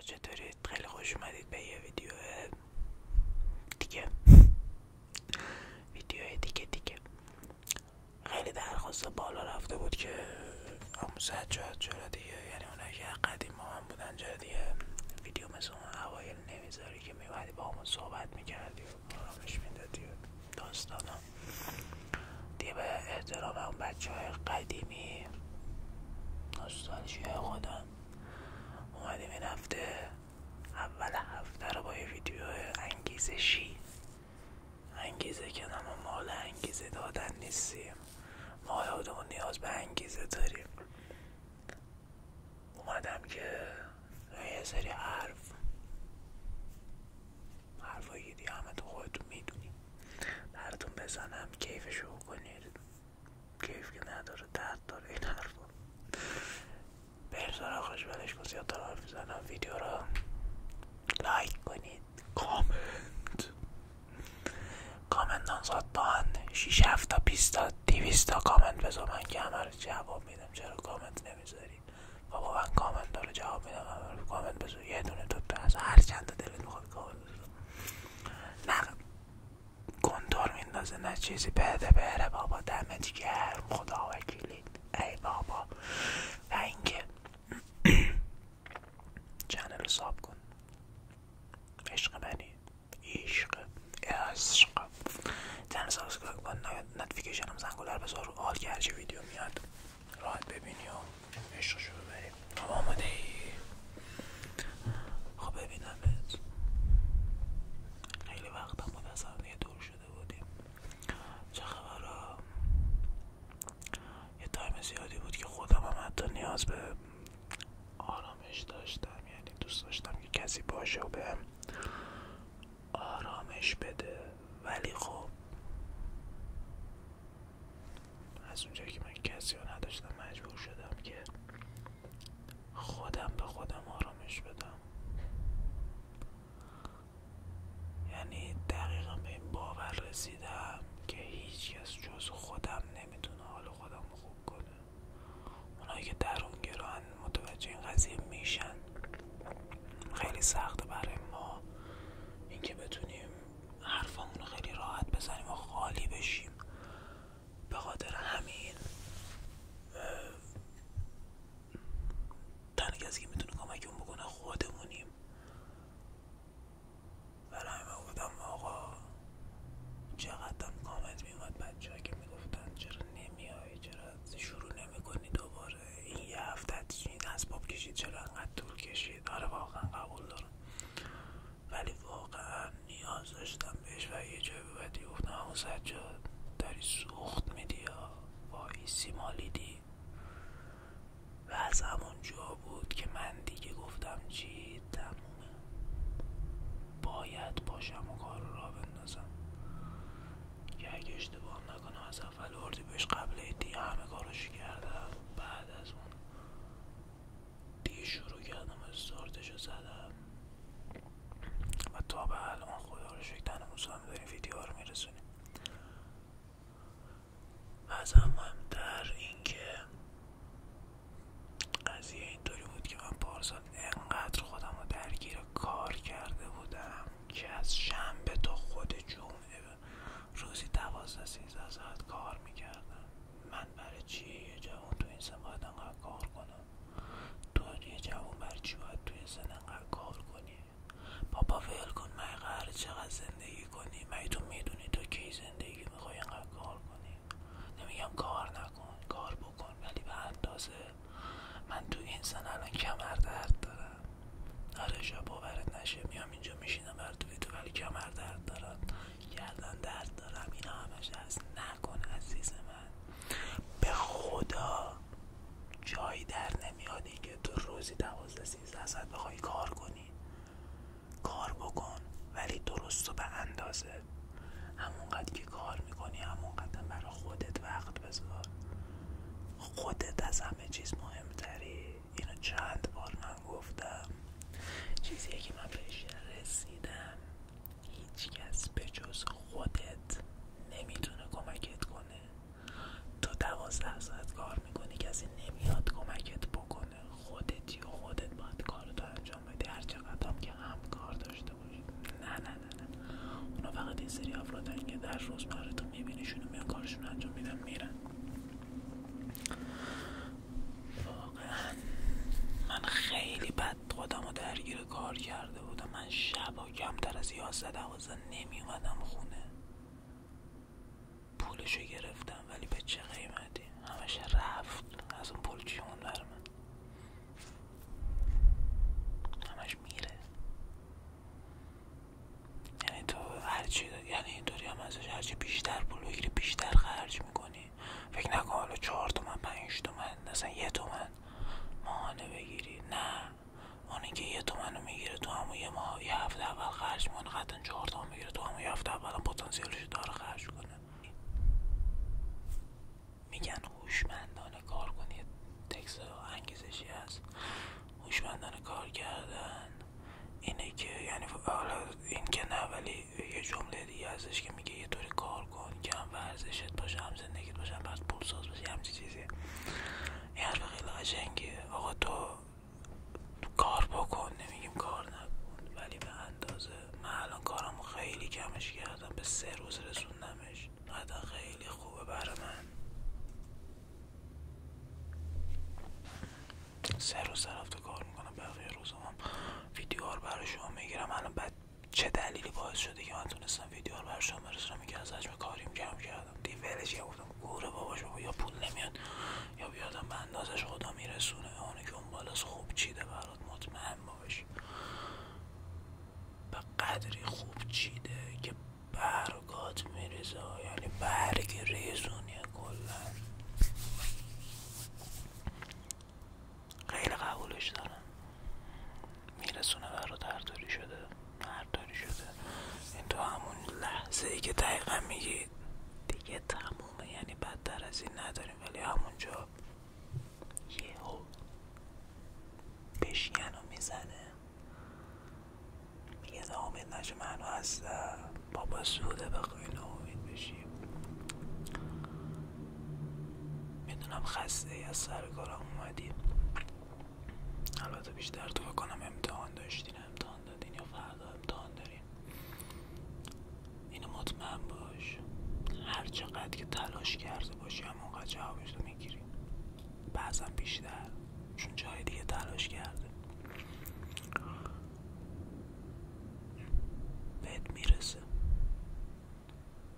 چطورید خیلی خوش اومدید به یه ویدیو دیگه ویدیو دیگه دیگه خیلی درخواست بالا رفته بود که آموزت شد چرا دیگه یعنی اونایی ما مهم بودن دیگه ویدیو مثل اون اوایل که میومدی با ما صحبت میکردی و آرامش میدادی و دیگه به احترام اون بچه های قدیمی نوستالژی خودم اومدیم این هفته اول هفته رو با یه ویدیو انگیزشی انگیزه که ما مال انگیزه دادن نیستیم ما خودمون نیاز به انگیزه داریم اومدم که یه سری حرف حرفایی دیگه همه تو خودتون میدونیم براتون بزنم کیف شو کنید کیف که نداره درد داره این حرفا بریم سراغش ولش کن حرف میزنم ویدیو را لایک کنید کامنت کامنت هم ساعت 6 تا 20 تا 200 تا کامنت بذار من که همه رو جواب میدم چرا کامنت نمیذاری بابا من کامنت رو جواب میدم کامنت بذار یه دونه تو از هر چند تا دلت میخواد کامنت بذار نه میندازه نه چیزی بده بره بابا دمت گرم خدا وکیلید ای بابا و اینکه چنل ساب کن عشق منی عشق عشق چنل سابسکرایب کن نتفیکیشن هم زنگوله آل که هرچی ویدیو میاد راحت ببینی و عشقشو ببریم آماده ای خب ببینمت خیلی وقت هم متصور دور شده بودیم چه خبر یه تایم زیادی بود که خودم هم حتی نیاز به آرامش داشتم یعنی دوست داشتم که کسی باشه و بهم آرامش بده ولی خب از اونجا که من کسی رو نداشتم مجبور شدم که خودم به خودم آرامش بدم یعنی دقیقا به این باور رسیدم که هیچکس جز خودم نمیتونه حال خودم خوب کنه اونایی که گران متوجه این قضیه میشن خیلی سخته برای ما اینکه بتونیم حرفامون خیلی راحت بزنیم و خالی بشیم به خاطر همین تنها کسی که میتونه کمکمون اون بکنه خودمونیم ولی همه گفتم آقا چقدرم کامنت میومد بچه که میگفتن چرا نمیای چرا شروع نمیکنی دوباره این یه هفته از اسباب کشید چرا انقدر طول کشید آره واقعا قبول دارم ولی واقعا نیاز داشتم بهش و یه جای به بعدی گفتم همون سجاد داری سوخت میدی یا وایسی مالیدی و از همون جا بود که من دیگه گفتم چی تمومه باید باشم و کارو را بندازم که اگه اشتباه نکنم از اول اردیبهشت قبل عیدی همه کارش کردم بعد از اون دیگه شروع کردم و رو زدم و تا به الان خدا رو شکر تنموز هم داریم ویدیو میرسونیم از هم در اینکه قضیه اینطوری بود که من پارسال انقدر خودم رو درگیر کار کرده بودم که از شنبه تا خود جمعه روزی دوازده از ساعت کار میکردم من برای چی یه جوان تو این سن باید انقدر کار کنم تو یه جوان برای چی باید تو این سن انقدر کار کنی بابا ول کن من چقدر زندگی کنی من تو میدونی تو کی زندگی میخوای کار کنی نمیگم کار نکن کار بکن ولی به اندازه من تو انسان الان کمر درد دارم آره باورت نشه میام اینجا میشینم بر تو تو ولی کمر درد دارم گردن درد دارم اینا همش هست، نکن عزیز من به خدا جایی در نمیادی که تو روزی دوازده از ازت بخوای کار کنی کار بکن ولی درست و به اندازه همونقدر که کار میکنی همونقدر برای خودت وقت بذار خودت از همه چیز مهمتری اینو چند بار من گفتم چیزی که من بهش رسیدم هیچکس به جز خودت نمیتونه کمکت کنه تو دوازده ساعت کار میکنی کسی نمیاد کمکت بکنه خودتی و خودت باید کارتو انجام بدی هر چقدر که هم کار داشته باشی نه نه نه اونا فقط این سری افرادن که در روزمره تو میبینیشون و میان کارشون انجام میدن میرن واقعا من خیلی بد خودمو درگیر کار کرده بودم من شبا کمتر از یازده دوازده نمیومدم خونه پولشو گرفتم ولی به چه قیمتی همش رفت از اون پول چی اون بر من همش میره یعنی تو هرچی یعنی اینطوری هم ازش هرچی بیشتر پول بگیری بیشتر خرج میکنی فکر نکن حالا چهار تومن پنج تومن مثلا یه تومن ماهانه بگیری نه اونی اینکه یه رو میگیره تو همون یه ماه یه هفته اول خرج میکنه قطعا چهار تومن میگیره تو همون یه هفته اول هم پتانسیلش داره خرج کنه میگن هوشمندانه کار یه تکس انگیزشی هست هوشمندانه کار کردن اینه که یعنی حالا این که نه ولی یه جمله دیگه ازش که میگه یه طوری کار کن که هم ورزشت باشه هم زندگیت باشه هم پول ساز باشه همچی چیزی این حرف خیلی آقا تو کار بکن نمیگیم کار نکن ولی به اندازه من الان کارمو خیلی کمش کردم به سه روز رسوندمش نه خیلی خوبه برای من سه روز طرف کار میکنم بقیه روز هم ویدیو رو برای شما میگیرم الان بعد چه دلیلی باعث شده که من تونستم ویدیو رو برای شما برسونم که از حجم کاریم کم کردم کردم دیولش گفتم گوره باباش بابا یا پول نمیاد یا بیادم به اندازش خدا میرسونه اونو که اون بالاست خوب چیده برات مطمئن باش به قدری خوب چیده که برگات میرزه یعنی برگ ریزونیه کلا خیلی قبولش دارم میرسونه برات داری شده داری شده این تو همون لحظه که دقیقا میگی دیگه تمومه یعنی بدتر از این نداریم ولی همونجا یهو بشین و میزنه میگه امید نشه منو هستم بابا سوده بخوای امید بشیم میدونم خسته از سر البته بیشتر تو کنم امتحان داشتین امتحان دادین یا فردا امتحان دارین اینو مطمئن باش هر چقدر که تلاش کرده باشی همونقدر جوابش رو میگیری بعضا بیشتر چون جای دیگه تلاش کرده بهت میرسه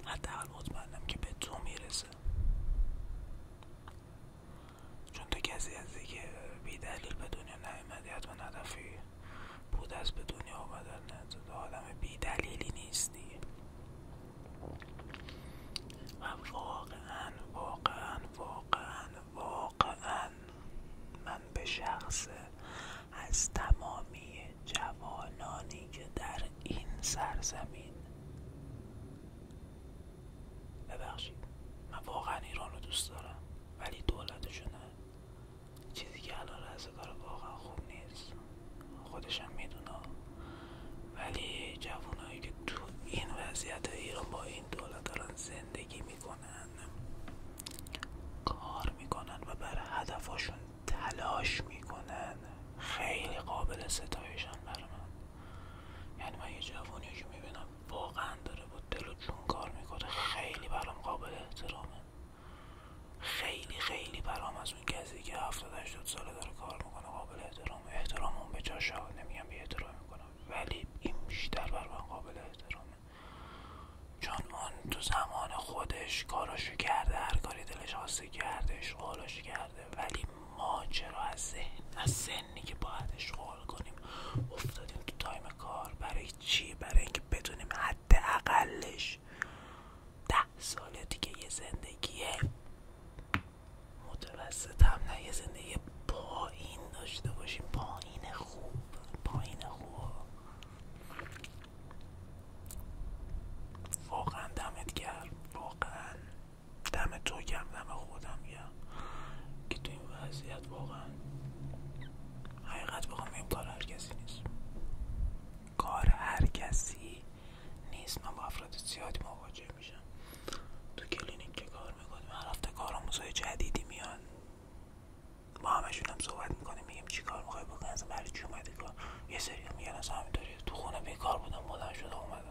حتی مطمئنم که به تو میرسه چون تو کسی هستی که بی دلیل به دنیا نیومدی حتما هدفی بود از به دنیا آمدنت تو آدم بی دلیلی نیستی و واقعا واقعا واقعا واقعا من به شخص از تمامی جوانانی که در این سرزمین ببخشید من واقعا ایران رو دوست دارم ولی نه چیزی که الان رزه داره واقعا خوب نیست خودشم میدونم ولی جوانایی که تو این وضعیت ایران با این دولت دارن زندگی میکنن کار میکنن و بر هدفشون تلاش میکنن خیلی قابل ستایشن بر من یعنی من یه جوانی که میبینم واقعا داره با دل و جون کار میکنه خیلی برام قابل احترامه خیلی خیلی برام از اون کسی که هفتاد هشتاد ساله داره کار میکنه قابل احترامه احترام اون به جاشا نمیگم به احترام میکنم ولی این بیشتر بر قابل احترامه چون اون تو زمان خودش کاراشو کرده هر کاری دلش خواسته کردهش کرده ولی ماجرا از از سنی که باید اشغال کنیم افتادیم تو تایم کار برای چی برای اینکه بدونیم حد اقلش ده ساله دیگه یه زندگی متوسط هم نه یه زندگی پایین داشته باشیم پایین خوب پایین خوب واقعا دمت گرم واقعا دم تو گرم دم خودم گرم که تو این وضعیت واقعا حقیقت بخوام این کار هر کسی نیست کار هر کسی نیست من با افراد زیادی مواجه میشم تو کلینیک که کار میکنیم هر هفته کارآموزهای جدیدی میان ما همشون هم صحبت میکنیم میگیم چی کار میخوای بکنی برای چی اومدی یه سری تو خونه بیکار بودم بلند شده اومدم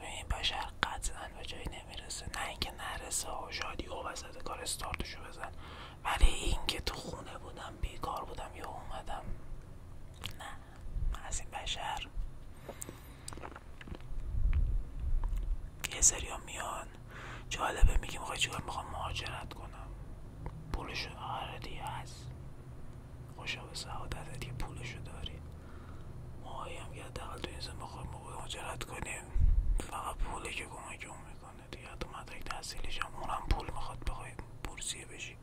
این بشر قطعا به جایی نمیرسه نه اینکه نرسه و شادی و وسط کار استارتشو بزن ولی اینکه تو خونه بودم بیکار بودم یا اومدم نه از این بشر یه سری میان جالبه میگیم میخوای چیکار میخوام مهاجرت کنم پولشون آره هست خوشا به سعادتت که پولشو داری ما هم که حداقل تو این زن بخوایم کنیم فقط پوله که کمک اون میکنه دیگه حتی مدرک هم اونم پول میخواد بخوای بورسیه بشی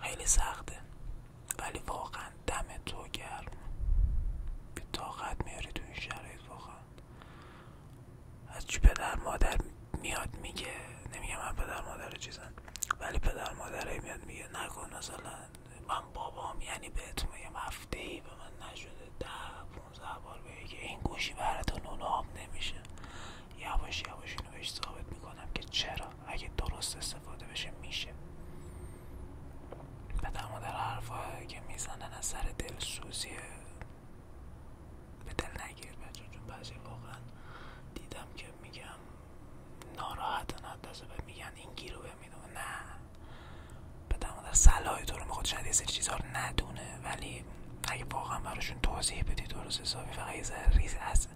خیلی سخته ولی واقعا دم تو گرم به طاقت میاری تو این شرایط واقعا از چی پدر مادر میاد میگه نمیگه من پدر مادر چیزن ولی پدر مادره میاد میگه نکن مثلا من بابام یعنی بهت میگم هفته ای به من نشده ده پونزه بار بگه این گوشی برات اون آب نمیشه یواش یواش اینو بهش ثابت میکنم که چرا اگه درست استفاده بشه میشه پدر مادر حرفا که میزنن از سر دلسوزیه به دل نگیرید بعضی واقعا دیدم که میگم ناراحت ندازه به میگن این گیرو میدونه نه به در صلاح تو رو میخواد شاید یه چیزها رو ندونه ولی اگه واقعا براشون توضیح بدی درست حسابی فقط یه ریز از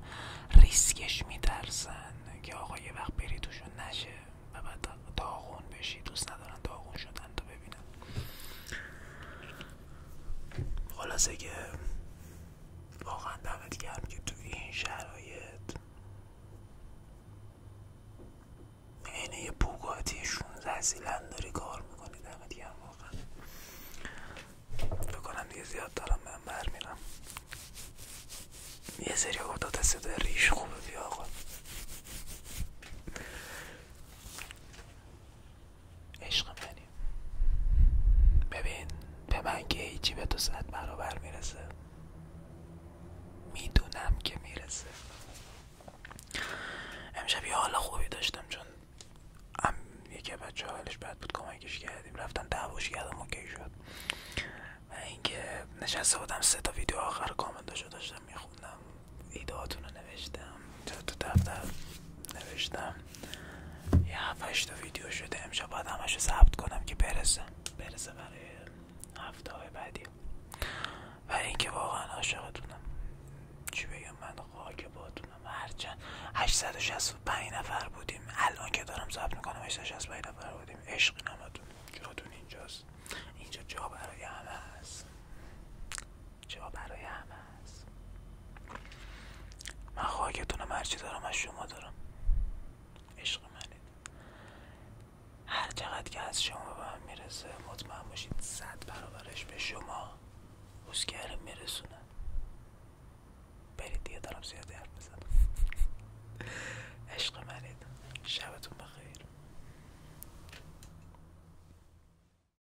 ریسکش میترسن که آقا یه وقت بری توشون نشه و بعد داغون بشی دوست ندارن داغون شدن تا ببینن خلاصه که واقعا دمت گرم که تو این شرایط عین یه بوگاتی 16 سیلند داری کار میکنی دمت گرم واقعا فکر دیگه زیاد دارم من برمیرم یه سری داده صدای ریش خوبه بیا آقا عشق منی یعنی. ببین به من که هیچی به تو صد برابر میرسه میدونم که میرسه امشب یه حال خوبی داشتم چون هم یکی بچه حالش بد بود کمکش کردیم رفتم دعواش کردم اوکی شد و اینکه نشسته بودم سه تا ویدیو آخر کامنتاشو داشتم میخوندم ایدهاتون رو نوشتم تو دفتر نوشتم یه هفت ویدیو شده امشب باید رو ثبت کنم که برسه برسه برای هفته های بعدی و اینکه واقعا عاشقتونم چی بگم من خاک باتونم هرچند 865 نفر بودیم الان که دارم ثبت میکنم 865 نفر بودیم عشقی نمتون جاتون اینجاست اینجا جا برای همه هست جا برای همه هست من هر چه دارم از شما دارم عشق منید هر چقدر که از شما به من میرسه مطمئن باشید صد برابرش به شما روزگره میرسونه برید دیگه دارم زیاد حرف بزنم عشق منید شبتون بخیر